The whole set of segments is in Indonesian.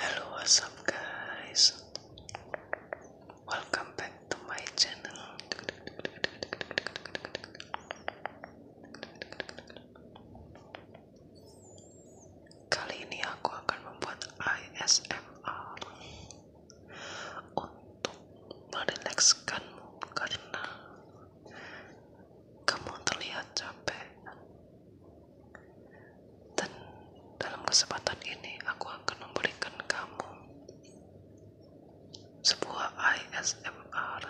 Halo what's up guys? Welcome back to my channel. Kali ini aku akan membuat ASMR untuk merilekskanmu karena kamu terlihat capek dan dalam kesempatan ini aku akan memberikan kamu sebuah ISMR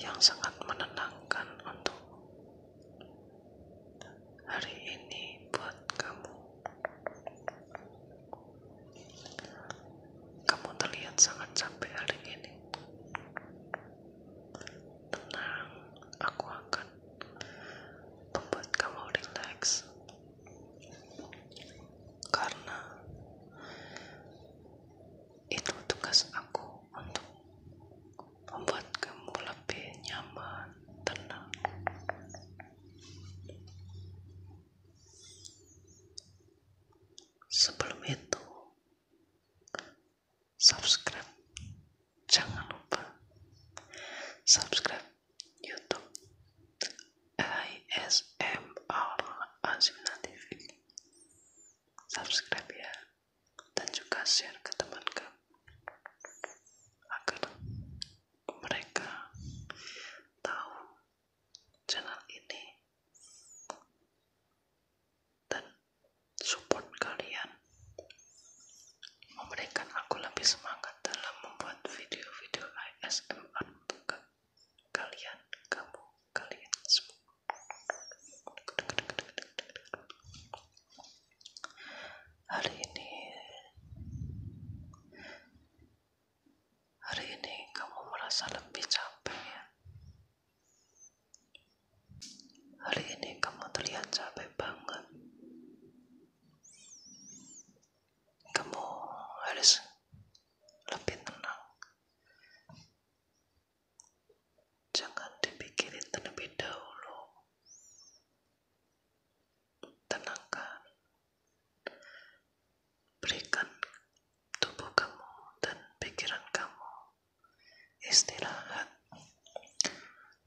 yang sangat menenangkan untuk hari ini buat kamu. Kamu terlihat sangat capek hari ini tenang aku akan membuat kamu rileks. karena itu tugas aku untuk membuat kamu lebih nyaman tenang sebelum itu subscribe jangan lupa subscribe youtube ASMR Azimna TV subscribe ya dan juga share ke teman kamu agar mereka tahu channel ini dan support kalian memberikan aku lebih semangat dalam membuat video-video ASMR untuk kalian, kamu, kalian semua. Hari ini, hari ini kamu merasa lebih capek ya? Hari ini kamu terlihat capek banget. Kamu harus lebih tenang. Jangan dipikirin terlebih dahulu. Tenangkan. Berikan tubuh kamu dan pikiran kamu istirahat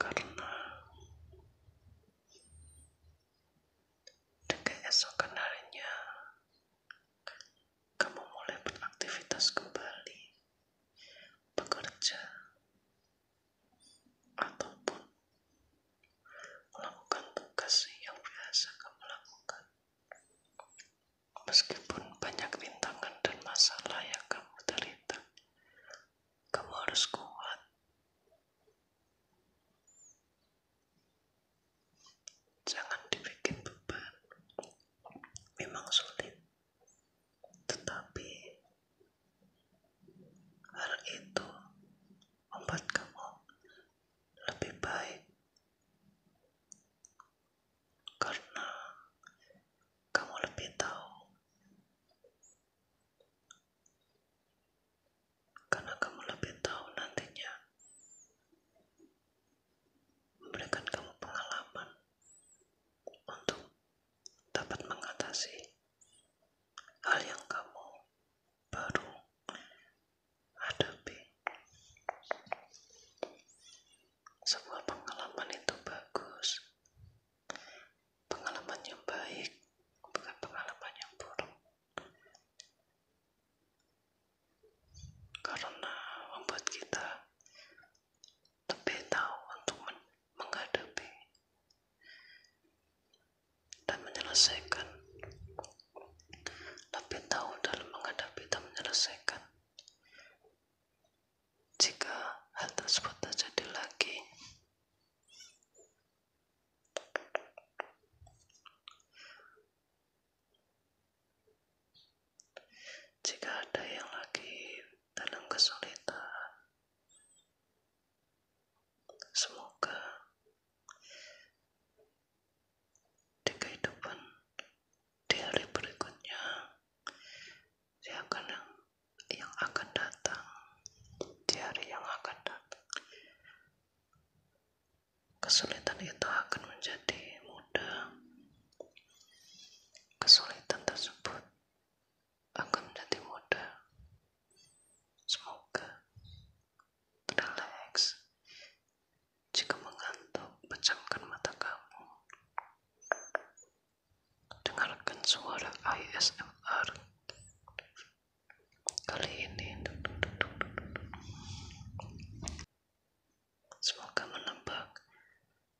karena di esok harinya kamu mulai beraktivitas kembali bekerja ataupun melakukan tugas yang biasa kamu lakukan Meskipun banyak rintangan dan masalah yang kamu derita, kamu harus kuat. Jangan dibikin beban. Memang sulit. Tetapi hal itu membuat kamu lebih baik karena kamu lebih tahu karena kamu lebih tahu nantinya memberikan kamu pengalaman untuk dapat mengatasi hal yang kamu baru hadapi sebuah pengalaman itu bagus pengalaman yang baik bukan pengalaman yang buruk karena membuat kita lebih tahu untuk menghadapi dan menyelesaikan lebih tahu dalam menghadapi dan menyelesaikan jika hal tersebut terjadi lagi jika ada yang lagi dalam kesulitan semoga di kehidupan di hari berikutnya dia akan yang akan datang di hari yang akan datang kesulitan itu akan menjadi mudah kesulitan tersebut akan menjadi mudah semoga relax jika mengantuk, pejamkan mata kamu. Dengarkan suara ASMR. Kali ini semoga menebak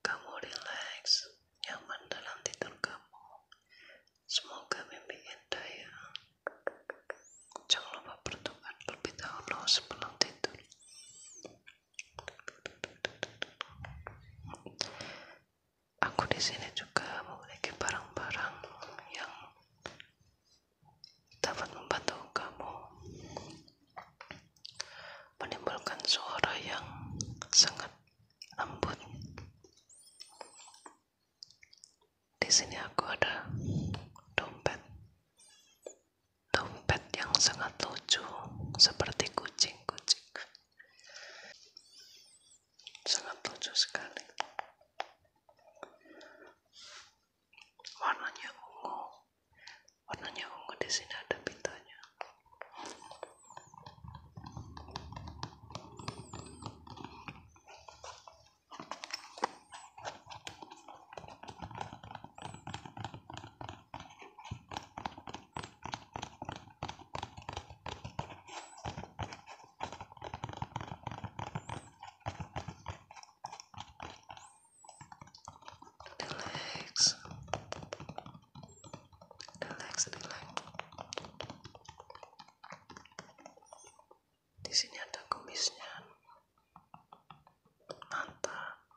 kamu relax, nyaman dalam tidur kamu. Semoga mimpi indah ya. Jangan lupa berdoa lebih Allah sebelum tidur. Aku di sini juga memiliki barang-barang yang dapat membantu kamu menimbulkan suara yang sangat lembut. Di sini aku ada dompet dompet yang sangat lucu seperti kucing-kucing sangat lucu sekali warnanya ungu warnanya ungu di sini ada pitanya. Relax, relax, relax. Di sini ada kumisnya, mantap.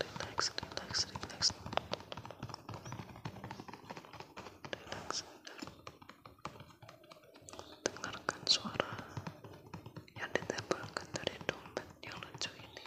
relax relax relax relax dengarkan suara yang ditempelkan dari dompet yang lucu ini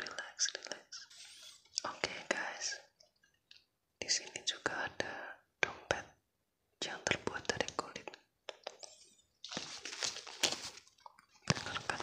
Relax, relax. Oke guys, di sini juga ada dompet yang terbuat dari kulit. Dengarkan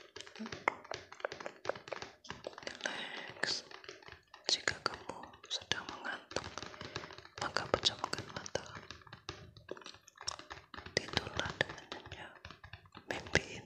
Relax. Jika kamu sedang mengantuk, maka pejamkan mata. Tidurlah dengan nyenyak. Mimpiin.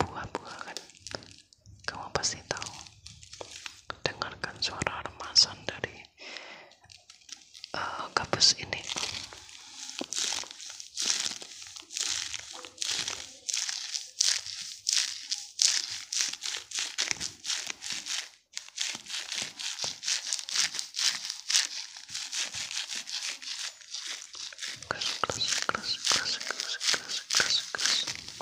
buah-buah kan kamu pasti tahu dengarkan suara remasan dari gabus eh, ini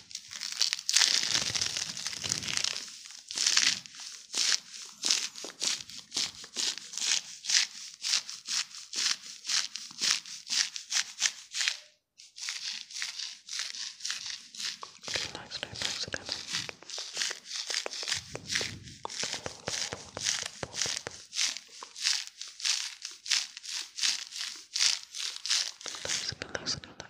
Nice, nice, nice again. Nice, nice, nice,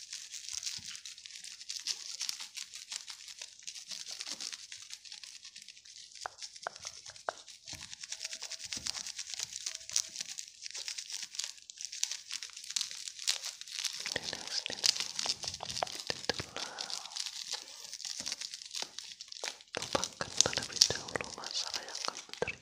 lupakan terlebih dahulu masalah yang kamu terima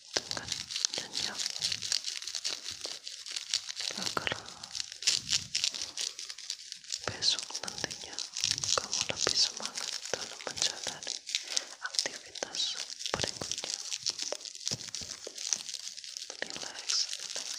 dengan 잠깐만요. 여기로 besok nantinya kamu lebih semangat dalam menjalani aktivitas berikutnya. Relax, relax.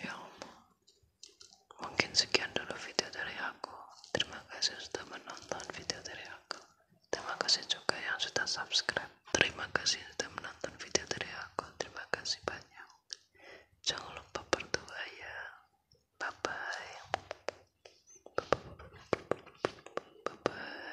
Ya Allah, mungkin sekian dulu video dari aku. Terima kasih sudah menonton video dari aku. Terima kasih juga yang sudah subscribe. Terima kasih sudah menonton video dari aku. Terima kasih banyak. Jangan lupa berdoa ya. Bye bye.